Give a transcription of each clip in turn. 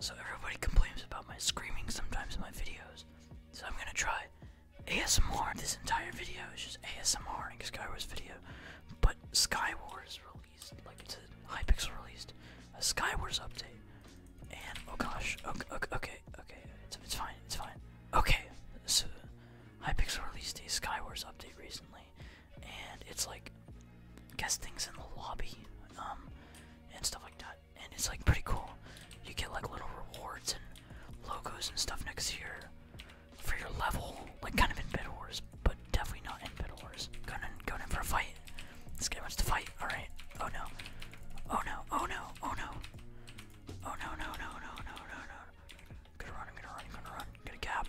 So everybody complains about my screaming sometimes in my videos. So I'm gonna try ASMR. This entire video is just ASMR ASMRing Skywars video, but Skywars released, like it's a Hypixel released a Skywars update. And oh gosh, okay, okay, okay, it's, fine, it's fine. Okay, so Hypixel released a Skywars update recently, and it's like guess things in the lobby um and stuff like that and it's like pretty cool you get like little rewards and logos and stuff next to your for your level like kind of in bed wars but definitely not in bed wars going in going in for a fight this guy wants to fight all right oh no oh no oh no oh no oh no no no no no no no I'm gonna run I'm gonna run I'm gonna run I'm gonna gap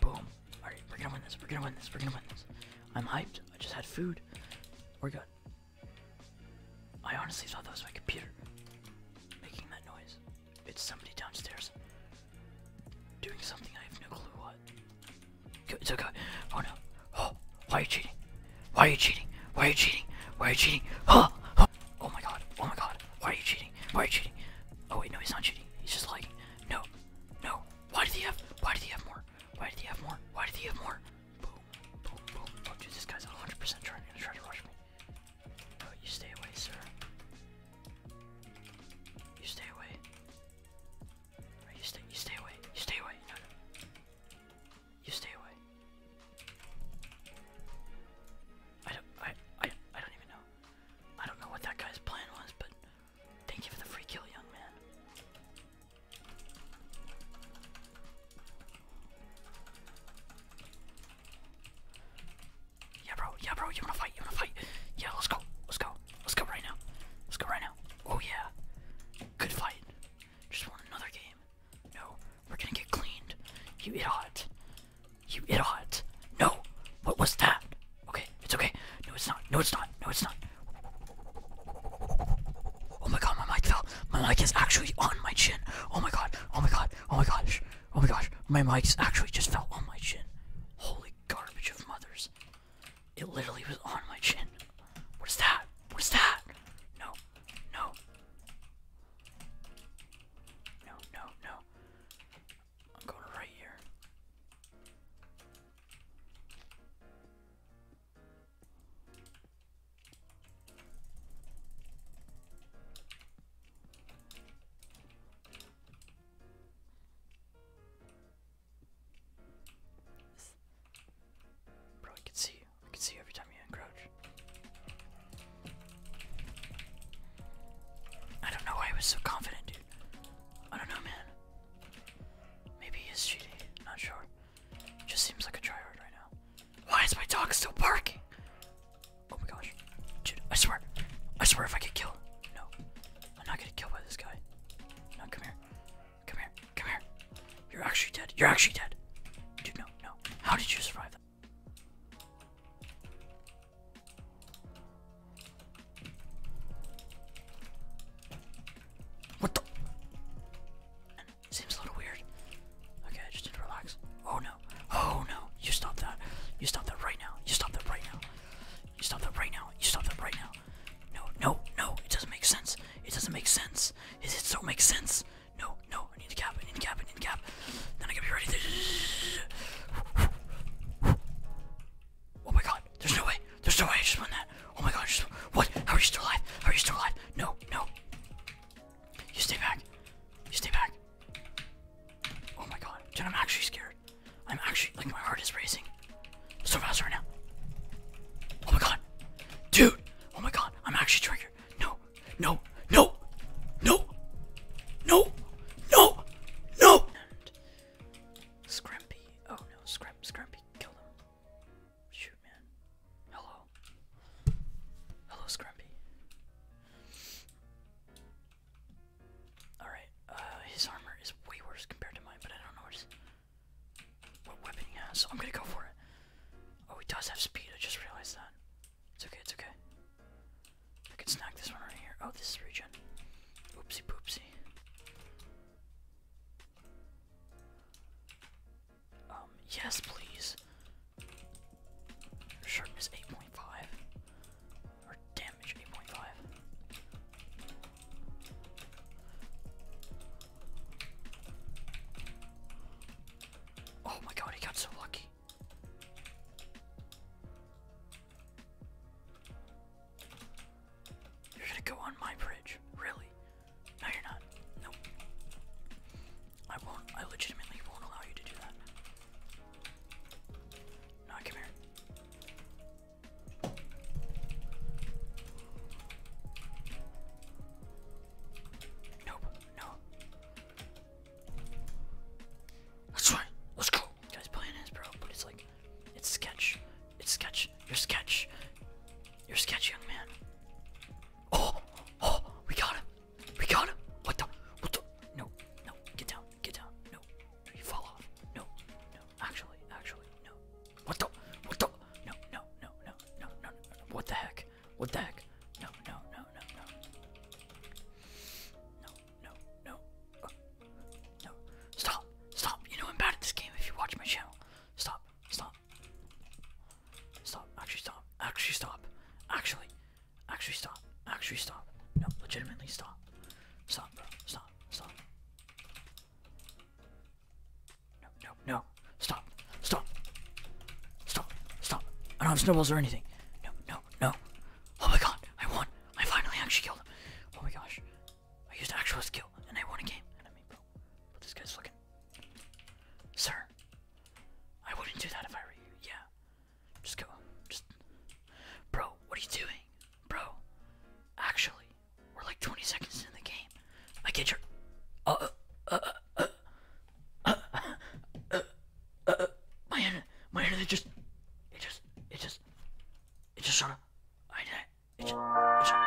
Boom. Alright, we're gonna win this. We're gonna win this. We're gonna win this. I'm hyped. I just had food. We're good. I honestly thought that was my computer making that noise. It's somebody downstairs doing something I have no clue what. It's okay. Oh no. Oh, why are you cheating? Why are you cheating? Why are you cheating? Why are you cheating? Huh? Oh my god. Oh my god. Why are you cheating? Why are you cheating? Oh wait, no, he's not cheating. He's just like, no, no. Why did he have? Why did he have more? Why did he have more? Why did he have more? Boom, boom, boom. Oh, dude, this guy's 100% trying to try to rush me. No, you stay away, sir. You stay away. you stay. You stay away. You stay away. No, no. You stay away. I don't. I. I. I don't even know. I don't know what that guy's plan was, but thank you for the free kill, young man. Yeah, bro. Yeah, bro. You wanna fight? You wanna fight? Yeah, let's go. Let's go. Let's go right now. Let's go right now. Oh yeah. Good fight. Just won another game. No, we're gonna get cleaned. You idiot. You idiot. No. What was that? Okay, it's okay. No, it's not. No, it's not. No, it's not. Oh my god, my mic fell. My mic is actually on my chin. Oh my god. Oh my god. Oh my gosh. Oh my gosh. My mic actually just fell on my chin. Holy garbage of mothers. It literally was on my chin. What is that? What is that? No. No. No, no, no. I'm going right here. Bro, I can see you. I can see you every time you encroach. I don't know why I was so confident, dude. I don't know, man. Maybe he is cheating. Not sure. Just seems like a tryhard right now. Why is my dog still barking? Oh my gosh. Dude, I swear. I swear if I get killed. No. I'm not getting killed by this guy. No, come here. Come here. Come here. You're actually dead. You're actually dead. Dude, no, no. How did you survive what the? Seems a little weird. Okay, I just need to relax. Oh no. Oh no. You stop that. You stop that right now. You stop that right now. You stop that right now. You stop that right now. No, no, no. It doesn't make sense. It doesn't make sense. It, it so makes sense. No, no, I need the cap, I need the cap, I need the cap. Then I gotta be ready to... Oh my god, there's no way. There's no way I just won that. Oh my god, What? How are you still alive? How are you still alive? No, no. You stay back. You stay back. Oh my god. Dude, I'm actually scared. I'm actually... Like, my heart is racing. So fast right now. Oh my god. Dude! Oh my god, I'm actually triggered. No, no, no, no, no, no, no. And Scrampy. Oh no, Scramp, Scrampy, kill him. Shoot, man. Hello. Hello, Scrampy. Alright, uh, his armor is way worse compared to mine, but I don't know what, what weapon he has, so I'm gonna go for it. Oh, he does have speed, I just realized that. It's okay, it's okay. I can snag this one right here. Oh, this is regen. Oopsie poopsie. Um, yes, please. Sharpness 8.5. Or damage 8.5. Oh my god, he got so lucky. You're gonna go on my bridge, really? No, you're not. Nope. I won't. I legitimately won't allow you to do that. No, come here. Nope, no. That's right. Let's go. You guys playing this, bro, but it's like, it's sketch. It's sketch. You're sketch. You're sketch, young man. Oh, oh, we got him. We got him. What the? What the? No, no. Get down. Get down. No. You fall off. No, no. Actually, actually, no. What the? What the? No, no, no, no, no, no, no. What the heck? What the heck? No, no, no, no, no, no. No, no, no. Oh, no. Stop! Stop! You know I'm bad at this game if you watch my channel. Stop. Stop. Stop. Actually stop. Actually stop. Actually. Actually stop. Actually stop. No, legitimately stop. Stop, bro. Stop. Stop. No, no, no. Stop. Stop. Stop. Stop. I don't have snowballs or anything. No, no, no. Oh my god, I won. I finally actually killed him. Oh my gosh. I used actual skill and I won a game. And I mean, bro, but this guy's looking. Sir, I wouldn't do that if I were you. Yeah. Just go. Just. Bro, what are you doing? Bro, actually, we're like 20 seconds in the game. I get your. uh, uh, uh, uh my internet, my internet just, it just, it just, it just sort of, I did it. Just, it just.